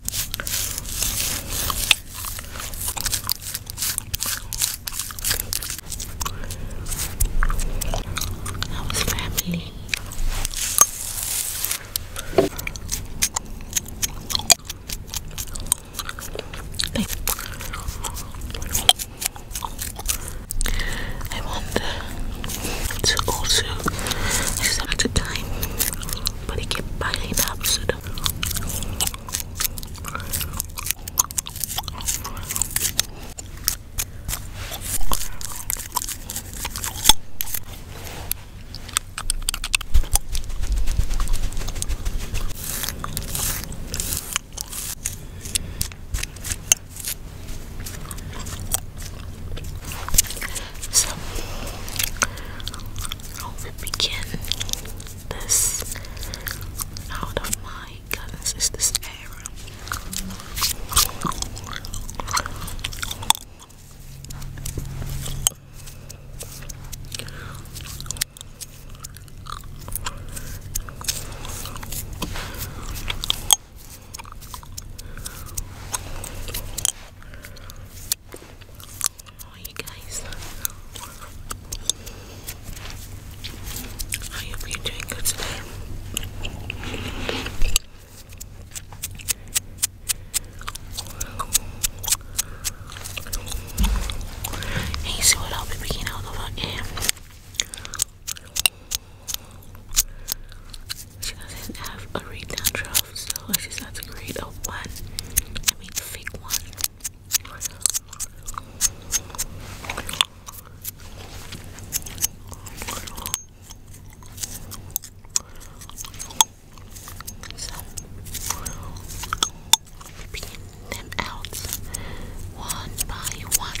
How's family? I wonder to also, I time but it buradaki pineapple so I'll begin this out of my goodness is this Oh, How you guys? I hope you're doing good today. And you I'll be picking out of our air. She doesn't have a read draft, delicious. That's a grade of one. I mean, fake one. So, picking them out one by one.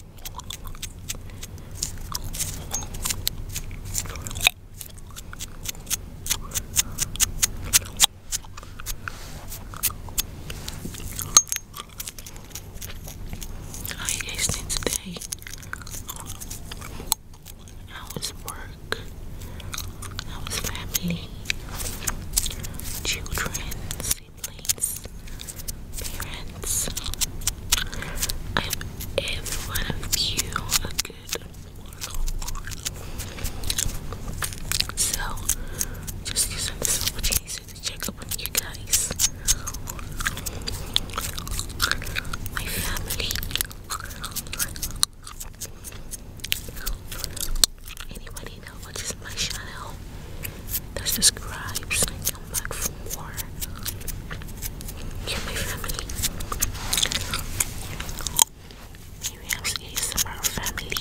I are you guys doing today? was work? How was family? Children, siblings, parents. I'm every one of you a good So just using this opportunity to check up on you guys. My family. Anybody know what is my channel? That subscribes so back for yeah, my family. Maybe we have ASMR family.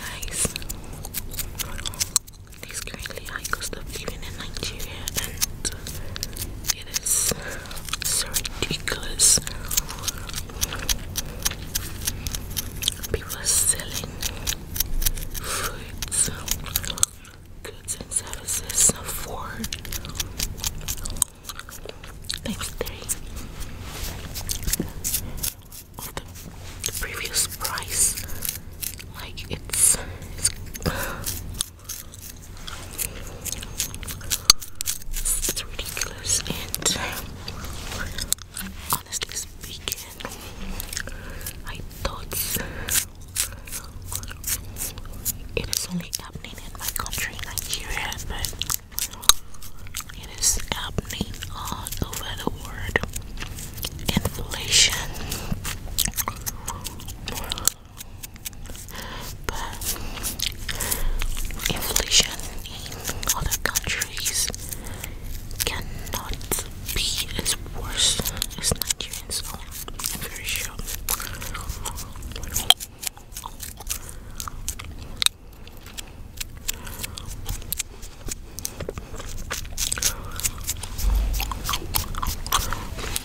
Guys, this currently high cost of living in Nigeria and at this. It's ridiculous. People are selling fruits, goods, and services for times three of the, previous price. Like it's it's ridiculous and honestly speaking, I thought it is only happening in my country, Nigeria, but it is happening all over the world. Inflation but inflation in other countries cannot be as worse as Nigerians own. very sure.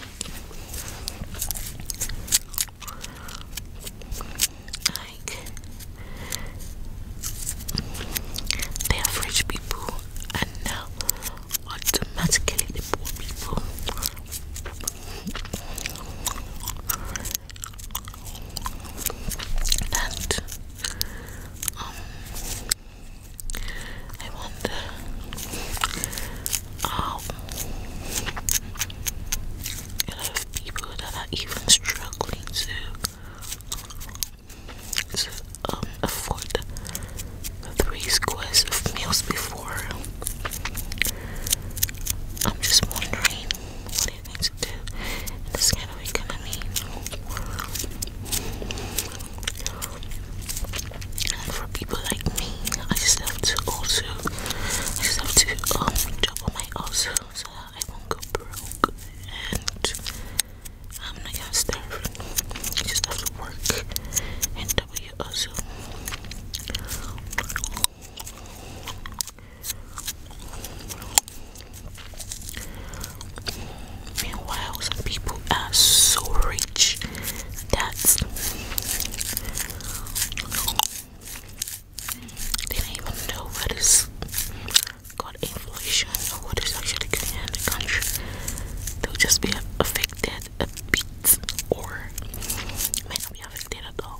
Like, the average people and now automatically the poor people. And um, I wonder Oh. I love people that are even struggling to, um, afford three squares of meals before. I'm just wondering what do you think to do in this kind of economy? for people like me, I just have to also, I just have to um job on my also so that I won't go broke and I'm not gonna starve. I just have to work and W also. Meanwhile, some people are so rich that's they don't even know what is called inflation or what is actually going on in the country. They'll just be affected a bit or may not be affected at all.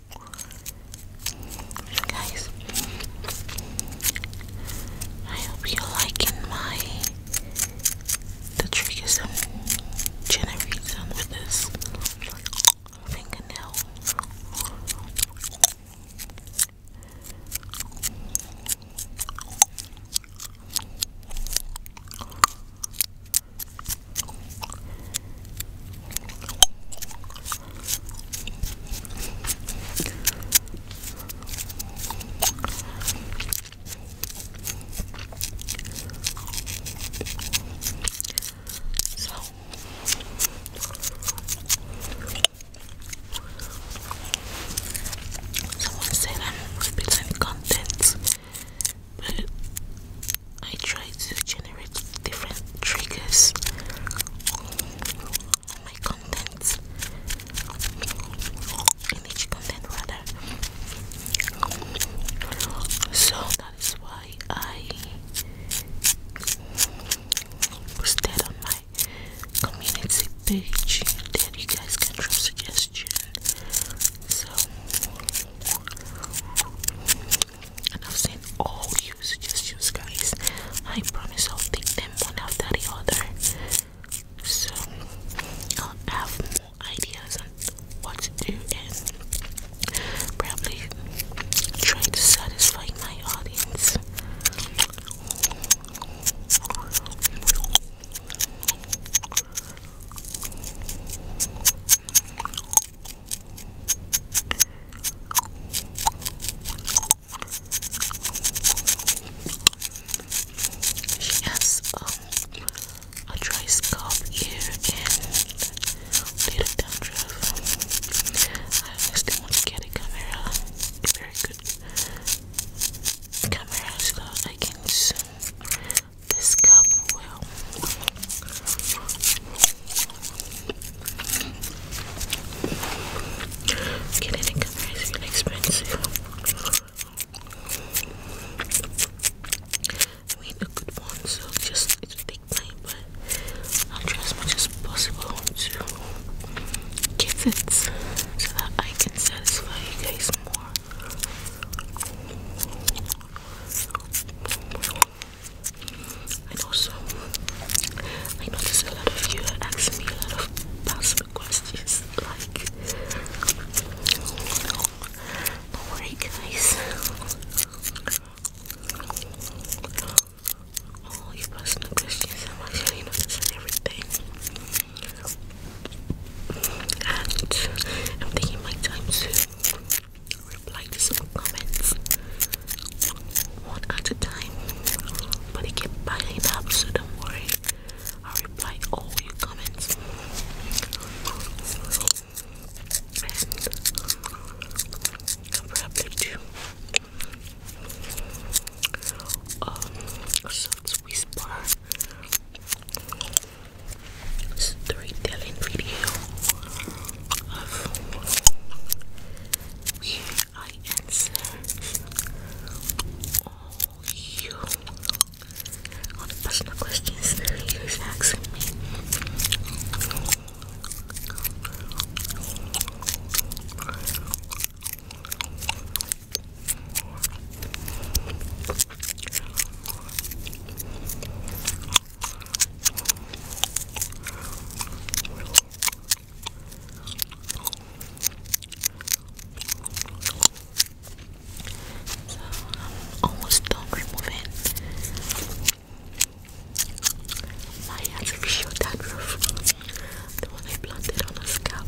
Guys, I hope you're my the triggers I'm generating with this fingernail. So someone said I'm repeating content but I try to different triggers my content in each content rather so that is why I posted on my community page that you guys can drop suggestions so and I've seen all you few suggestions, guys. I promise I'll take them one after the other, so I'll have more ideas on what to do and probably try to satisfy my audience. She has um, a dry scalp here and little dandruff. I honestly want to get a camera, a very good camera, so I can zoom well. Getting it is really expensive. I mean, a good one, so just it will take time, but I'll try as much as possible to get it so that I can satisfy you guys more. I know also, I notice a lot of you are asking me a lot of personal questions. Like, do guys. All your personal questions, I'm actually noticing everything. And I'm taking my time to reply to some comments one at a time, but I kept piling up, so don't worry. I'll reply all your comments. And i um, a soft whisper storytelling video where I answer all you all the personal questions you guys asking me. So I'm almost done removing my artificial dad the one I planted on a scalp.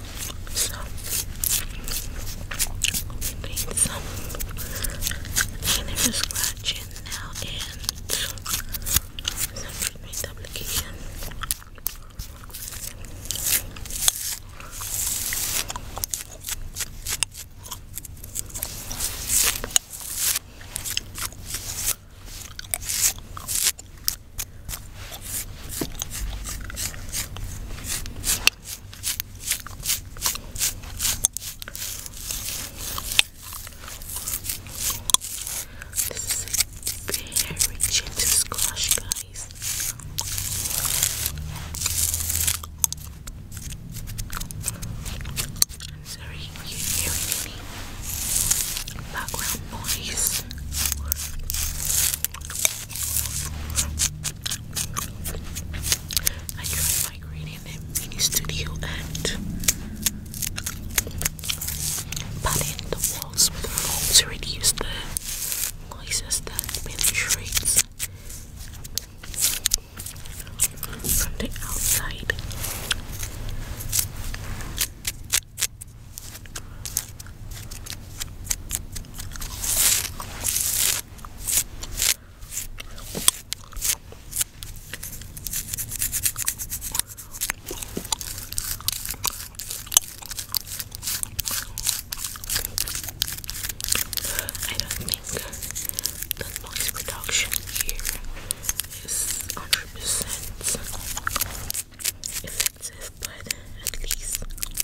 So we need some for scratching now and some treatment application. This is very gentle squash, guys. I'm sorry background noise. I tried migrating in mini studio and padding the walls with foam to reduce the noises that penetrates from the outside. I don't think that noise reduction here is 100% effective, but at least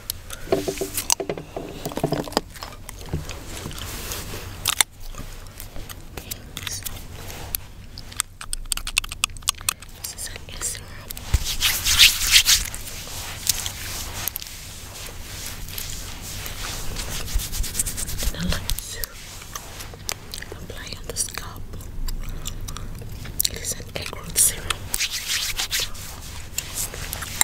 This is on Instagram. And I to apply on the It is an egg root serum.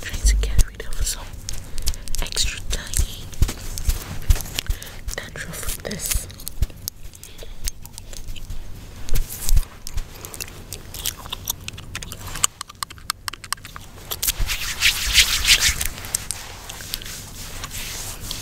Trying to get rid of some extra tiny dandruff with this.